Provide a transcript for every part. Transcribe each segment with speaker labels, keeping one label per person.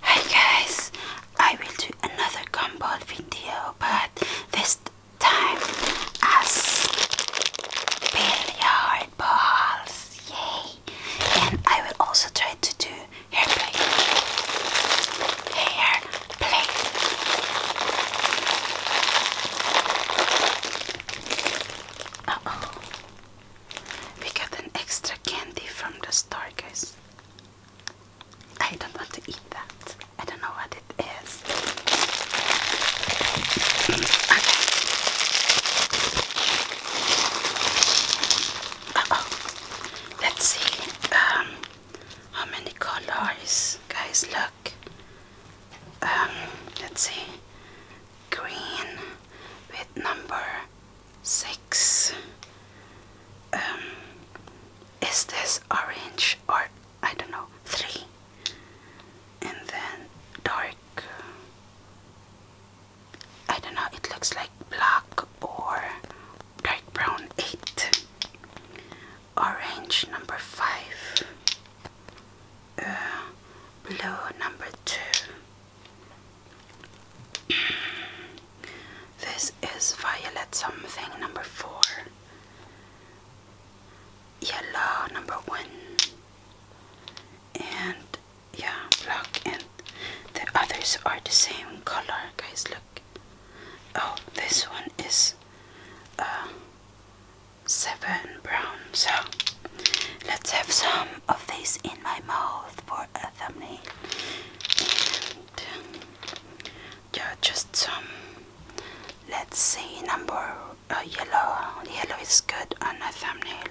Speaker 1: Hi guys, I will do another gumball video, but this time as billiard balls, yay! And I will also try to do hair play. Hair play. Uh oh, we got an extra candy from the store, guys. I don't want to eat that. I don't know what it is. Okay. Let's see um, how many colors, guys. Look. Um, let's see. Green with number six. Um, is this orange or I don't know three? And then dark. I don't know. It looks like black or dark brown eight. Orange number five. Uh, blue number two this is violet something number four. Yellow number one. And yeah, black and the others are the same color, guys. Look. Oh, this one is uh, seven brown. So let's have some of this in my mouth for a thumbnail. yeah, just um, Let's see, number uh, yellow. Yellow is good on a thumbnail.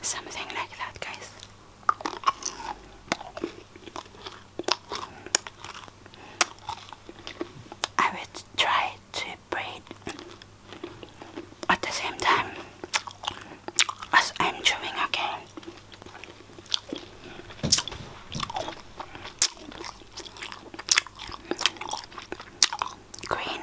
Speaker 1: Something like that, guys. I will try to bread at the same time as I'm chewing again. Green.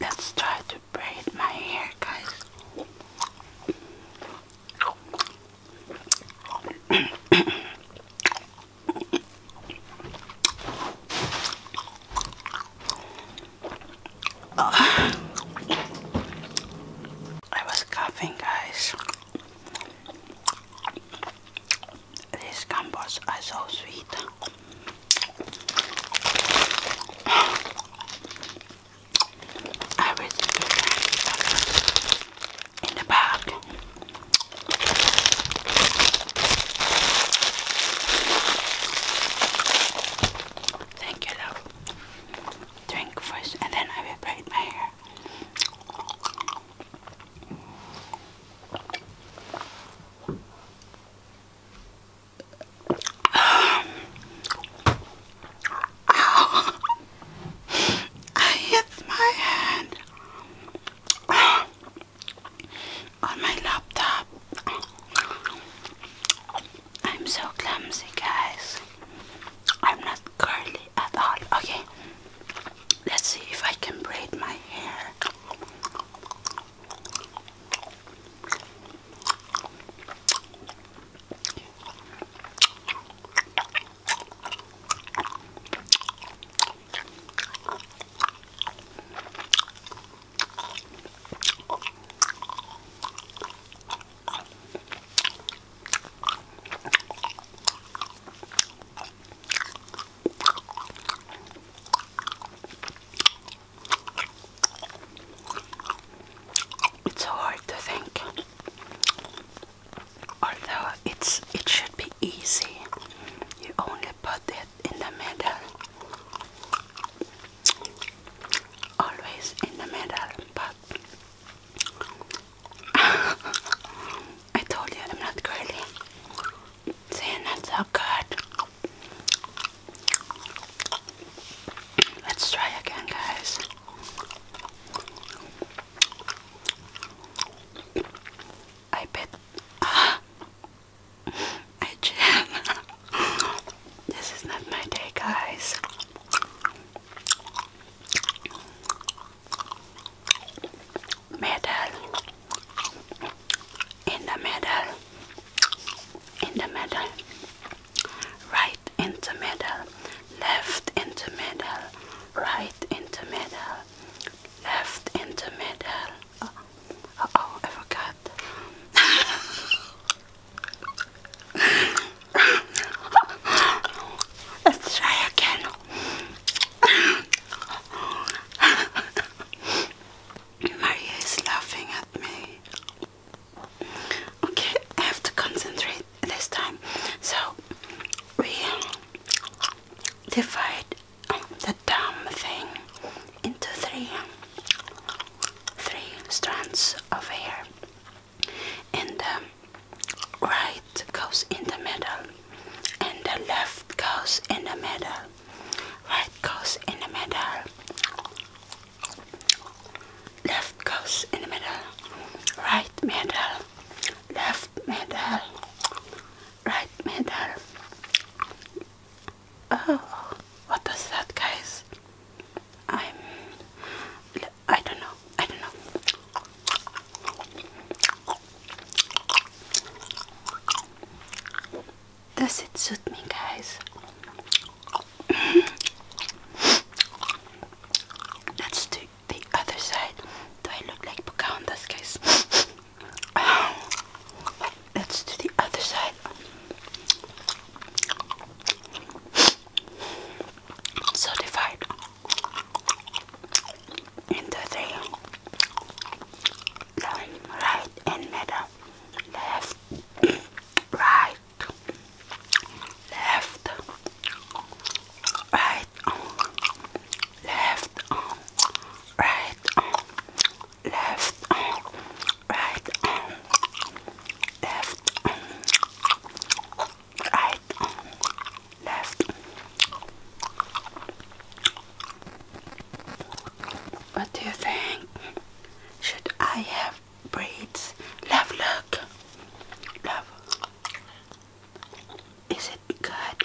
Speaker 1: Let's try to braid my hair, guys. I was coughing, guys. These gumballs are so sweet. I really in the bag. Thank you, love. Drink first, and then I will braid my hair. I hit my hand on my laptop. I'm so clumsy, guys. I'm not curly. Okay, let's see if I can braid my hair. It's so hard to think. Although it's it should be easy. You only put it in the middle. Always in the middle, but I told you I'm not curly. See, not so good. Let's try again, guys. I bet. I jam. this is not my day, guys middle, in the middle, in the middle, right into middle, left into middle, right into middle, left into middle. Oh, oh, I forgot. Let's try again. Maria is laughing at me. Okay, I have to concentrate this time. So we divide the dumb thing into three three strands of hair and the um, right goes in the middle and the left goes in the middle right goes in the middle left goes in the middle right middle left middle right middle oh what was that guys I'm I don't know. I don't know. Does it suit me, guys? Let's do the other side. Do I look like Pocahontas, guys? Let's do the other side. So divided into three. right and middle. Left, right, left, right, left, right, left, right, left right, left. What do you think? Should I have braids? Love, look. Love. Is it good?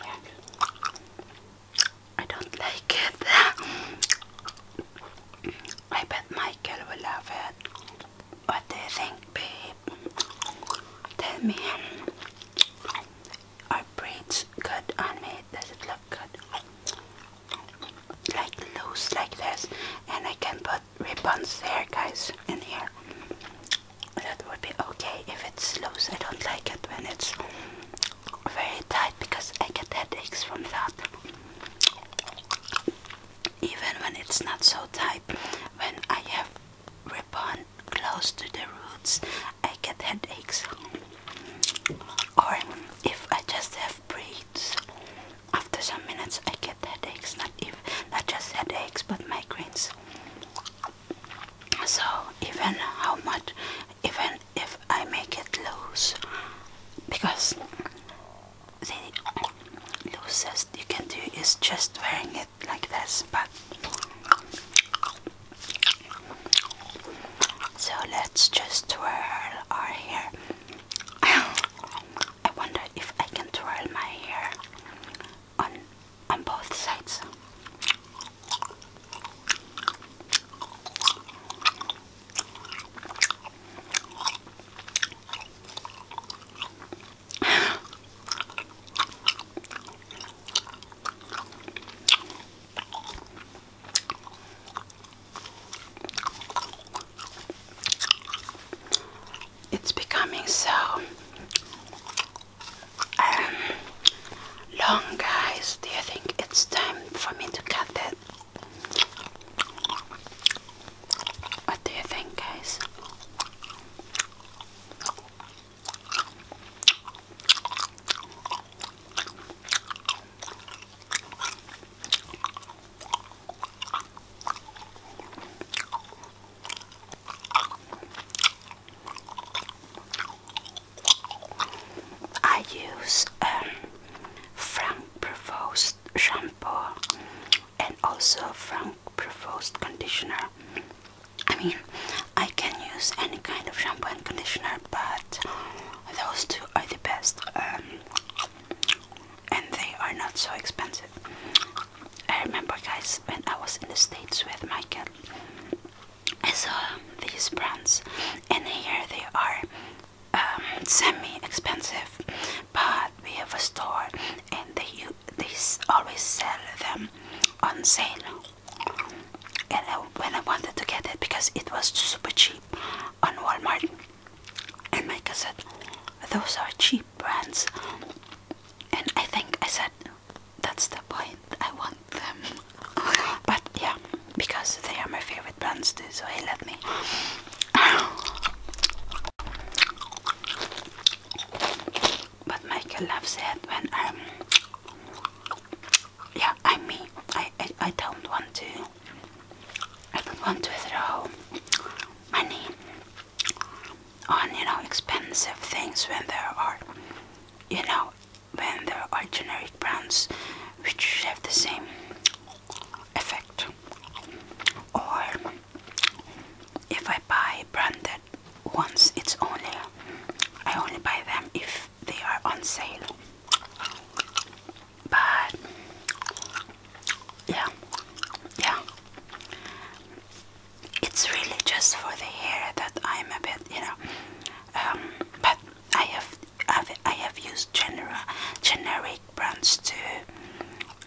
Speaker 1: I don't like it. I bet Michael will love it. What do you think, babe? Tell me, are braids good on me? Does it look good? Like loose like this. And I can put ribbons there, guys, in here. That would be okay if it's loose. I don't like it when it's very tight because I get headaches from that. Even when it's not so tight, when I have ribbon close to the roots, I get headaches. Or if I just have braids, after some minutes I get headaches. Not if not just headaches, but migraines. So even how much, even if I make it loose, because the loosest you can do is just wearing it like this, but so let's just twirl our hair. I wonder if I can twirl my hair on on both sides. It's becoming so um, long, guys. Do you think it's time for me to cut it? What do you think, guys? I use um, Frank Provost shampoo and also from Provost conditioner. I mean, I can use any kind of shampoo and conditioner, but those two are the best, um, and they are not so expensive. I remember, guys, when I was in the States with Michael, I saw these brands, and here they are um, semi expensive, but we have a store and they they always sell them on sale and I, when I wanted to get it because it was super cheap on Walmart and I said those are cheap brands and I think I said that's the point I want them but yeah because they are my favorite brands too so he let me but Michael loves it when I'm. Yeah, I'm me. I, I, I don't want to. I don't want to throw money on, you know, expensive things when there are, you know, when there are generic brands which have the same effect. Or if I buy branded ones, it's only I only buy them if they are on sale. But yeah, yeah. It's really just for the hair that I'm a bit, you know. Um, but I have, have I have used genera, generic brands to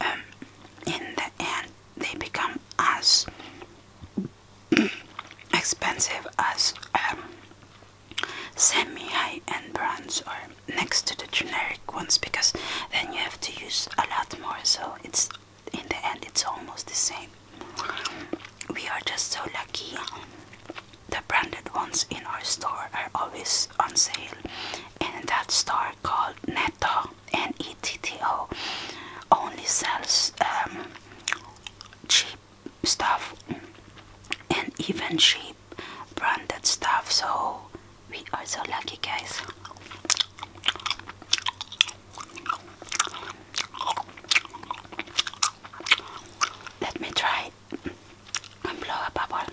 Speaker 1: um, in the end they become as expensive as um, semi-high-end brands or next to the generic ones because then you have to use a lot more so it's in the end it's almost the same we are just so lucky the branded ones in our store are always on sale and in that store called Netto and ETTO. Only sells um, cheap stuff and even cheap branded stuff. So we are so lucky, guys. Let me try and blow a bubble.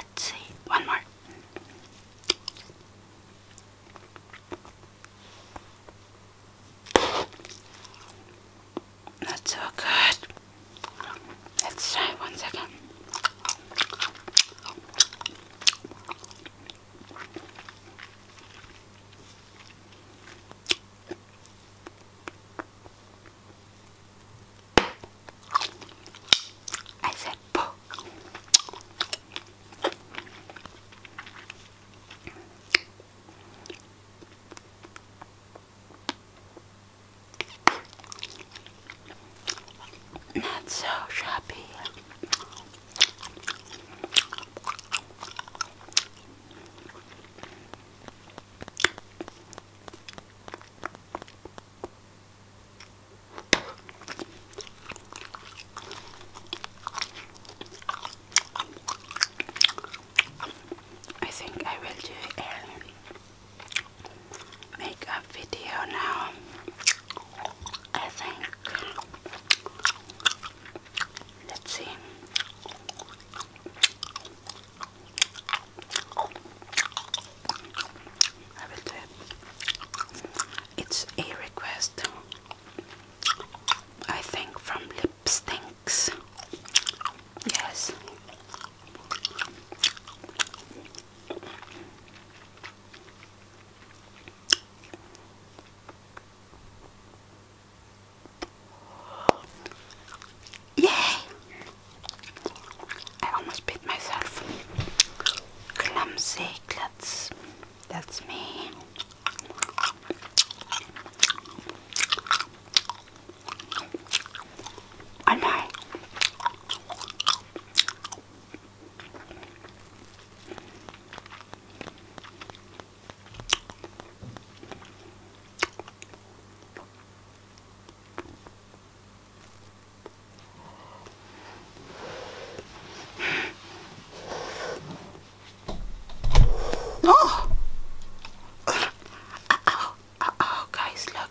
Speaker 1: Let's see, one more. Not so good. Let's try one second. I said pork. Not so shabby. I think I will do a video now. I think. Let's see. I will do it. It's a request, I think, from Lipstinks. Yes. Yay! I almost beat myself. Clumsy klutz. That's me. Oh my. Oh, oh, oh, oh guys, look.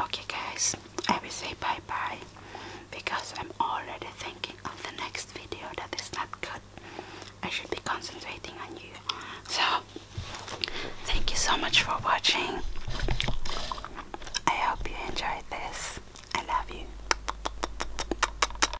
Speaker 1: Okay, guys, I will say bye bye because I'm already thinking of the next video that is not good. I should be concentrating on you. So, thank you so much for watching. I hope you enjoyed this. I love you.